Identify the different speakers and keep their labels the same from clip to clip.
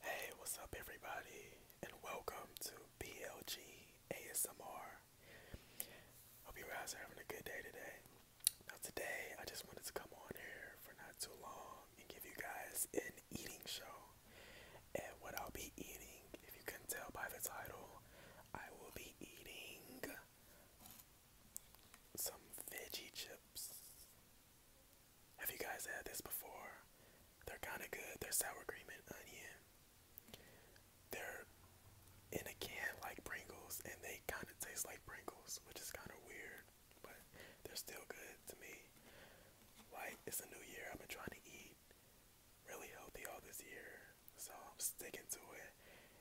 Speaker 1: Hey, what's up, everybody, and welcome to BLG ASMR. Hope you guys are having a good day today. Now, today I just wanted to come on here for not too long and give you guys an eating show. And what I'll be eating, if you can tell by the title, I will be eating some veggie chips. Have you guys had this before? They're kind of good. They're sour cream and onion. They're in a can like Pringles, and they kind of taste like Pringles, which is kind of weird, but they're still good to me. Like, it's a new year. I've been trying to eat really healthy all this year, so I'm sticking to it.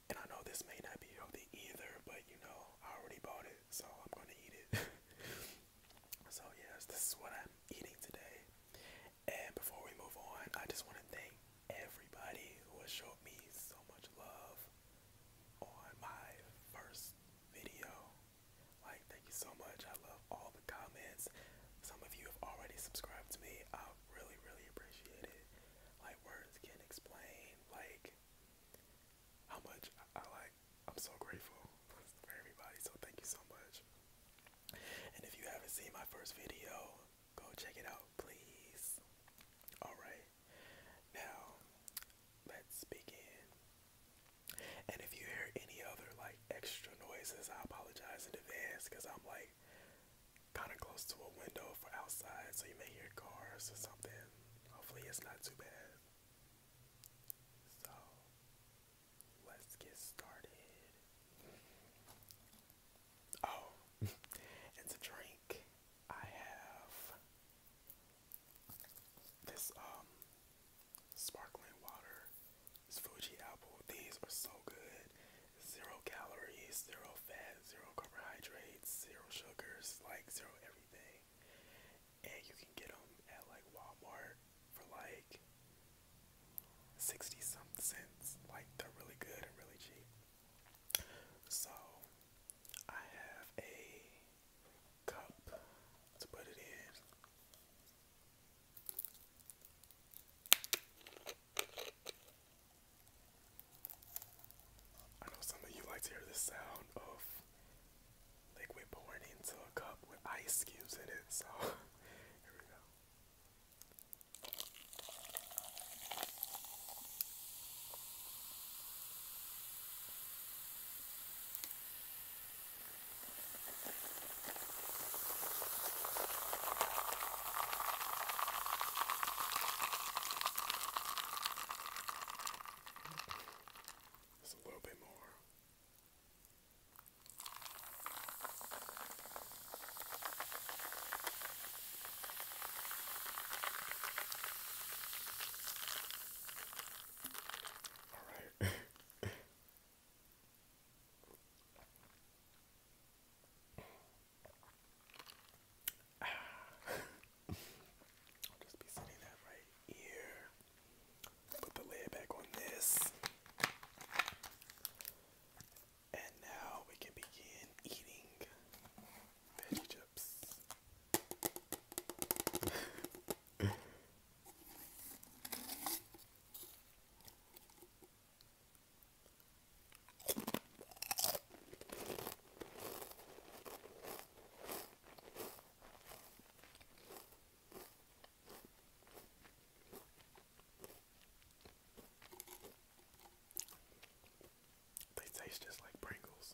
Speaker 1: And I know this may not be healthy either, but you know, I already bought it, so I'm gonna eat it. so, yes, this is what I'm eating today. And before we move on, I just want to thank everybody who has showed me so much love on my first video. Like, thank you so much. I love all the comments. Some of you have already subscribed to me. I really, really appreciate it. Like, words can't explain. Like, how much I like. I'm so grateful for everybody. So thank you so much. And if you haven't seen my first video, go check it out, please. All right. Now, let's begin. And if you hear any other like extra noises, I apologize in advance because I'm like kind of close to a window for outside, so you may hear cars or something. Hopefully, it's not too bad. So, let's get started. Oh, and to drink, I have this um sparkling water. It's Fuji apple. These are so good zero calories, zero fat, zero carbohydrates, zero sugars, like zero everything. And you can get them at like Walmart for like 60 some cents. Like they're really good and really cheap. So I have a cup to put it in. I know some of you like to hear the sound of liquid pouring into a cup with ice cubes in it, so here we go. Just a little bit more. All right. I'll just be sitting that right here. Put the lid back on this. And now we can begin eating veggie chips. They taste just like Pringles.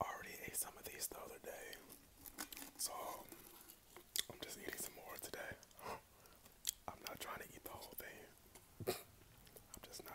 Speaker 1: I already ate some of these the other day, so I'm just eating some more today. I'm not trying to eat the whole thing. I'm just not.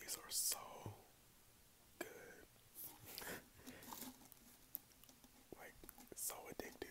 Speaker 1: These are so good. Like, so addictive.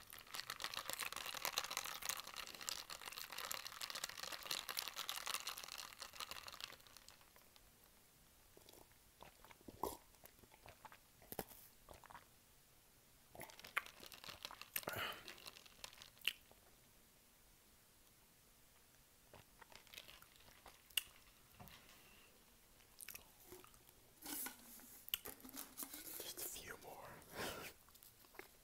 Speaker 1: Just a few more.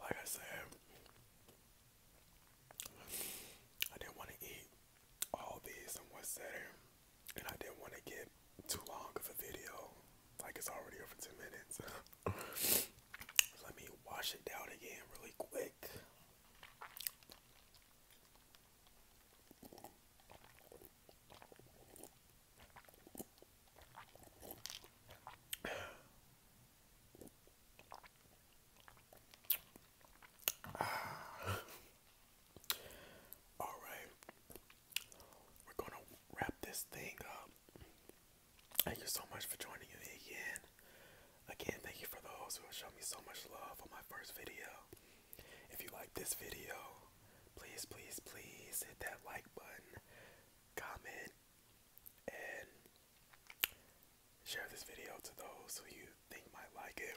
Speaker 1: Like I said, I didn't want to eat all these in one setting and I didn't want to get too long of a video, like it's already over 10 minutes. let me wash it down again really quick. All right, we're gonna wrap this thing up. Thank you so much for joining me again. Again, thank you for those who have me so much love on my first video. If you like this video, please, please, please hit that like button, comment, and share this video to those who you think might like it.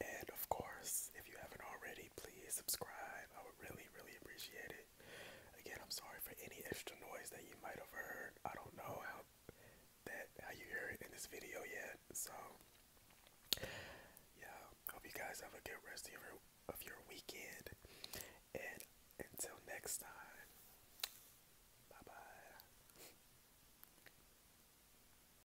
Speaker 1: And of course, if you haven't already, please subscribe. I would really, really appreciate it. Again, I'm sorry for any extra noise that you might have heard. I don't know how that how you hear it in this video yet. So yeah, hope you guys have a good rest of your of your weekend. And until next time. Bye bye.